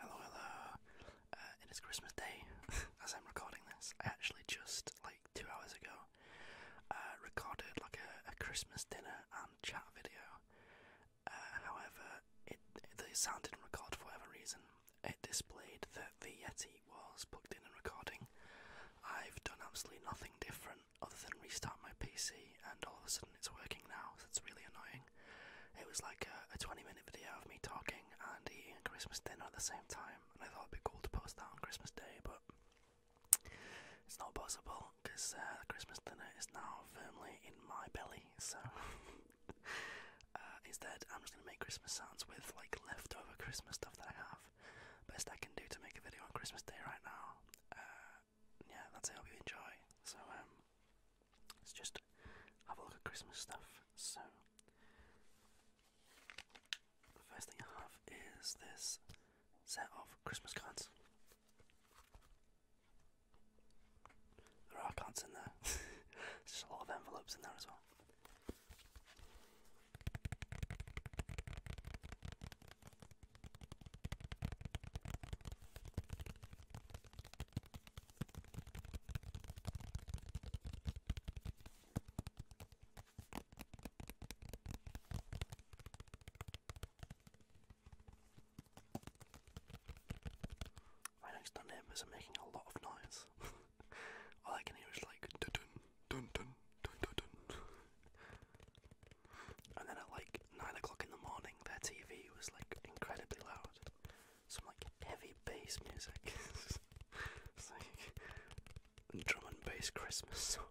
Hello, hello. Uh, it is Christmas Day as I'm recording this. I actually just, like, two hours ago, uh, recorded, like, a, Christmas dinner and chat video. Uh, however, the sound didn't record for whatever reason. It displayed that the Yeti was plugged in and recording. I've done absolutely nothing different other than restart my PC, and all of a sudden it's working now. So it's really annoying. It was like a, 20 minute video of me talking and eating Christmas dinner at the same time, and I thought it'd be cool to post that on Christmas Day, but it's not possible because uh, Christmas dinner is now firmly in my belly, so uh, instead I'm just gonna make Christmas sounds with like leftover Christmas stuff that I have. Best I can do to make a video on Christmas Day right now. Uh, yeah, that's it. hope you enjoy. So um, let's just have a look at Christmas stuff. So, the first thing I have is this set of Christmas cards. There are cards in there, there's just a lot of envelopes in there as well. Right next neighbours are making a lot of noise. All I can hear is like dun dun dun dun dun and then at like nine o'clock in the morning, their TV was like incredibly loud. Some like heavy bass music. like drum and bass Christmas songs.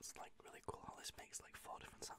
It's like really cool how this makes like four different sounds.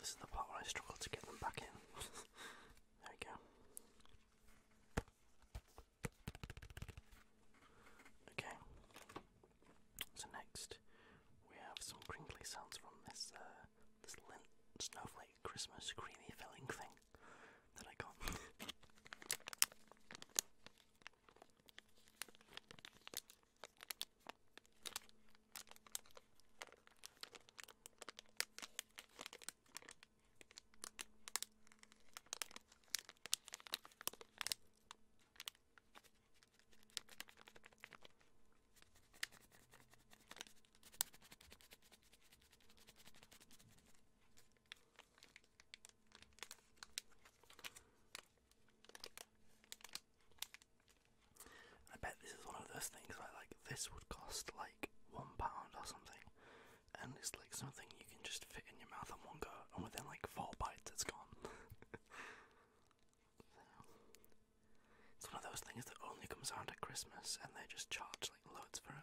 This is the part where I struggle to get them back in. there we go. Okay, so next we have some crinkly sounds from this uh, this lint snowflake Christmas creamy filling thing that I got. I bet this is one of those things I like this would cost like one pound or something, and it's like something you can just fit in your mouth and one go, and within like four bites, it's gone. it's one of those things that only comes out at Christmas, and they just charge like loads for it.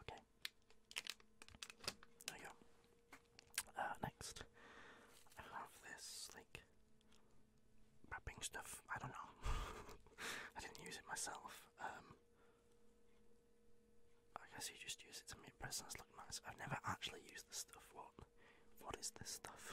Okay. There you go. Uh, next, I have this like wrapping stuff. I don't know. I didn't use it myself. Um, I guess you just use it to make presents look nice. I've never actually used this stuff. What? What is this stuff?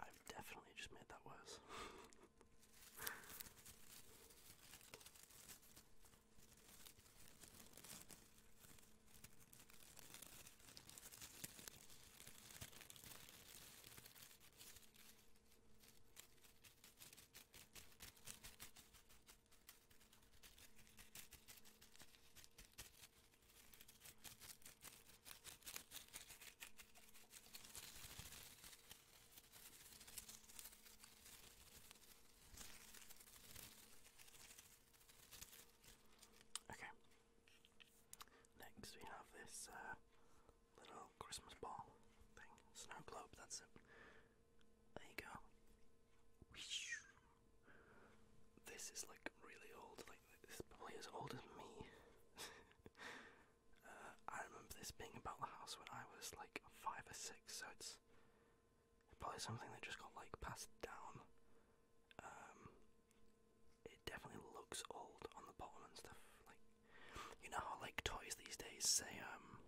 I've definitely just made that worse. Okay. Next we have this uh, little Christmas ball thing, snow globe. That's it. There you go. This is like really old. Like this is probably as old as me. Uh, I remember this being about the house when I was like five or six, so it's probably something that just got like passed down. Um, it definitely looks old on the bottom and stuff. Like you know how like toys these days say um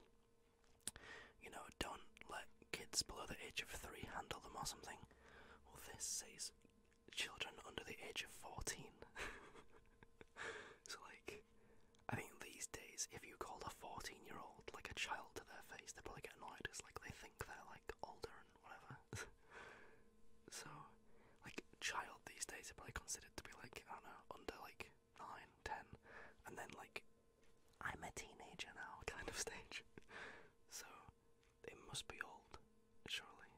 you know, don't let kids below the age of three handle them or something. Well, this says children under the age of 14. so, like, I think these days, if you called a 14 year old like a child to their face, they would probably get annoyed. It's like they think they're like older and whatever. so, like, child these days are probably considered to be like, I don't know, under like 9, 10, and then like I'm a teenager now kind of stage. So it must be old, surely.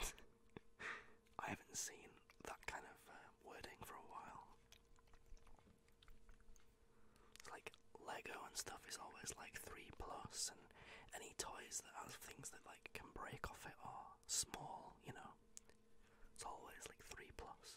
I haven't seen that kind of uh, wording for a while. It's like Lego and stuff is always like 3 plus and any toys that have things that like can break off it are small, you know. It's always like 3 plus.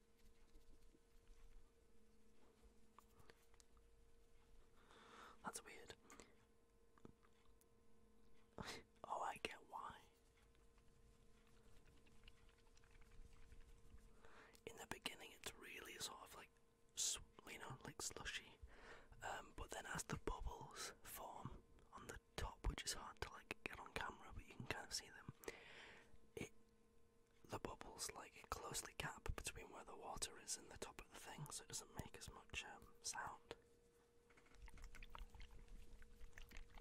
That's weird. oh, I get why. In the beginning, it's really sort of like, you know, like slushy. Um, but then as the bubbles form on the top, which is hard to like get on camera, but you can kind of see them, the bubbles like closely gap between where the water is in the top of the thing, so it doesn't make as much um, sound.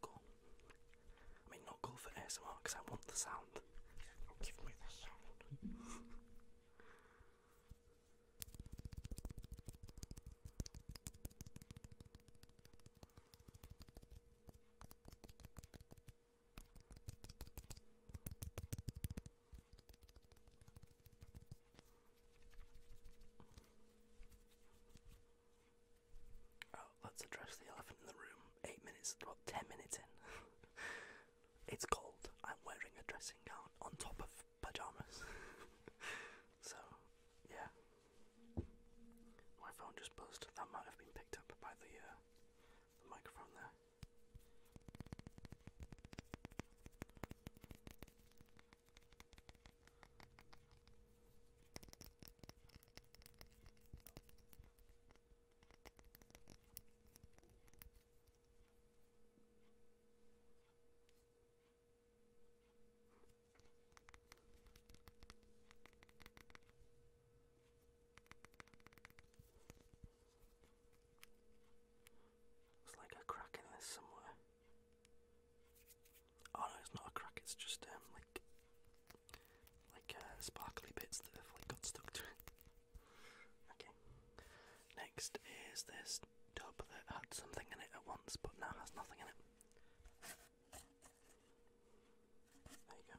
cool. I not cool for ASMR because I want the sound. Give me the sound. Oh, let's address the elephant in the room. Eight minutes, well, ten minutes in. it's cold. I'm wearing a dressing gown on top of pajamas. so, yeah. My phone just buzzed. That might have been picked up by the, uh, microphone there. There's like a crack in this somewhere. Oh no, it's not a crack. It's just um like like uh, sparkly bits that have like got stuck to it. Okay. Next is this tub that had something in it at once but now has nothing in it. There you go.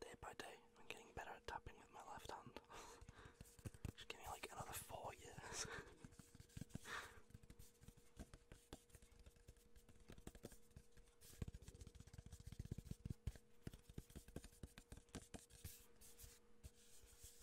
Day by day, I'm getting better at tapping with my left hand. Just give me like another four years.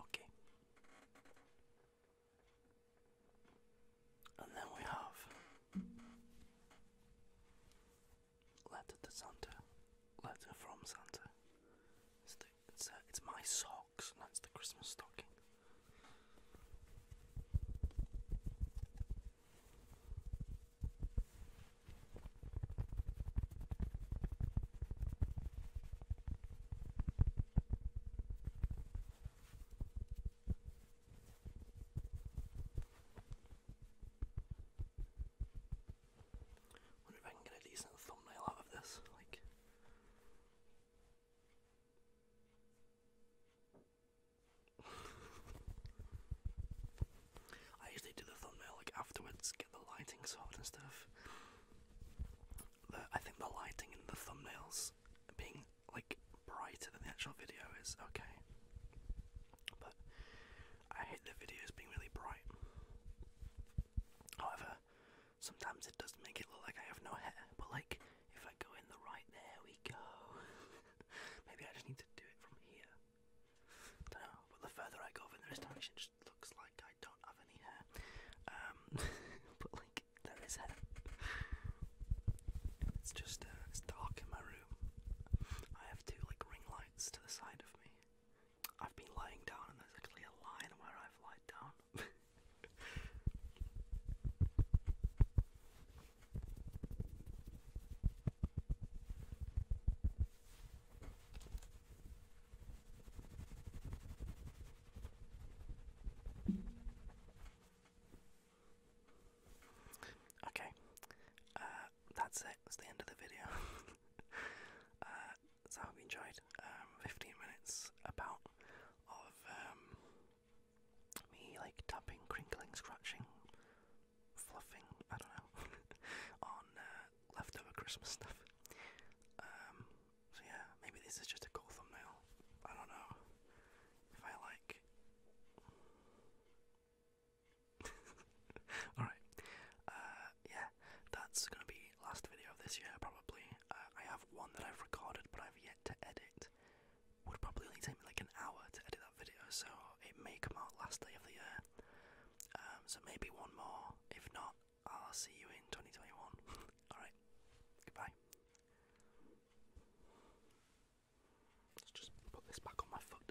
Okay. And then we have Letter to Santa. Letter from Santa. It's, the, it's, uh, it's my socks, and that's the Christmas stocking. Wonder if I can get a decent thumbnail out of this, like. I usually do the thumbnail like afterwards, get the lighting sorted and stuff. I think the lighting in the thumbnails being like brighter than the actual video is okay but I hate the videos being really bright. However, sometimes it does make it look like I have no hair, but like if I go in the right, there we go. Maybe I just need to do it from here. don't know, but the further I go over in direction, just looks like I don't have any hair. Um, but like there is hair. It's just uh, it's dark in my room. I have two like ring lights to the side of me. I've been lying down and there's actually a line where I've lied down. Okay, uh, that's it. That's the end of the video. Uh, so I hope you enjoyed. Um, 15 minutes about of um, me like tapping, crinkling, scratching, fluffing. I don't know on uh, leftover Christmas stuff. Um, so yeah, maybe this is just a cool thumbnail. I don't know if I like. Alright. Uh, yeah, that's gonna be last video of this year probably. Uh, I have one that I've recorded but I've yet to edit. Would probably only take me like an hour to edit that video, so it may come out last day of the year. Um, so maybe one more. If not, I'll see you in 2021. Alright, goodbye. Let's just put this back on my foot.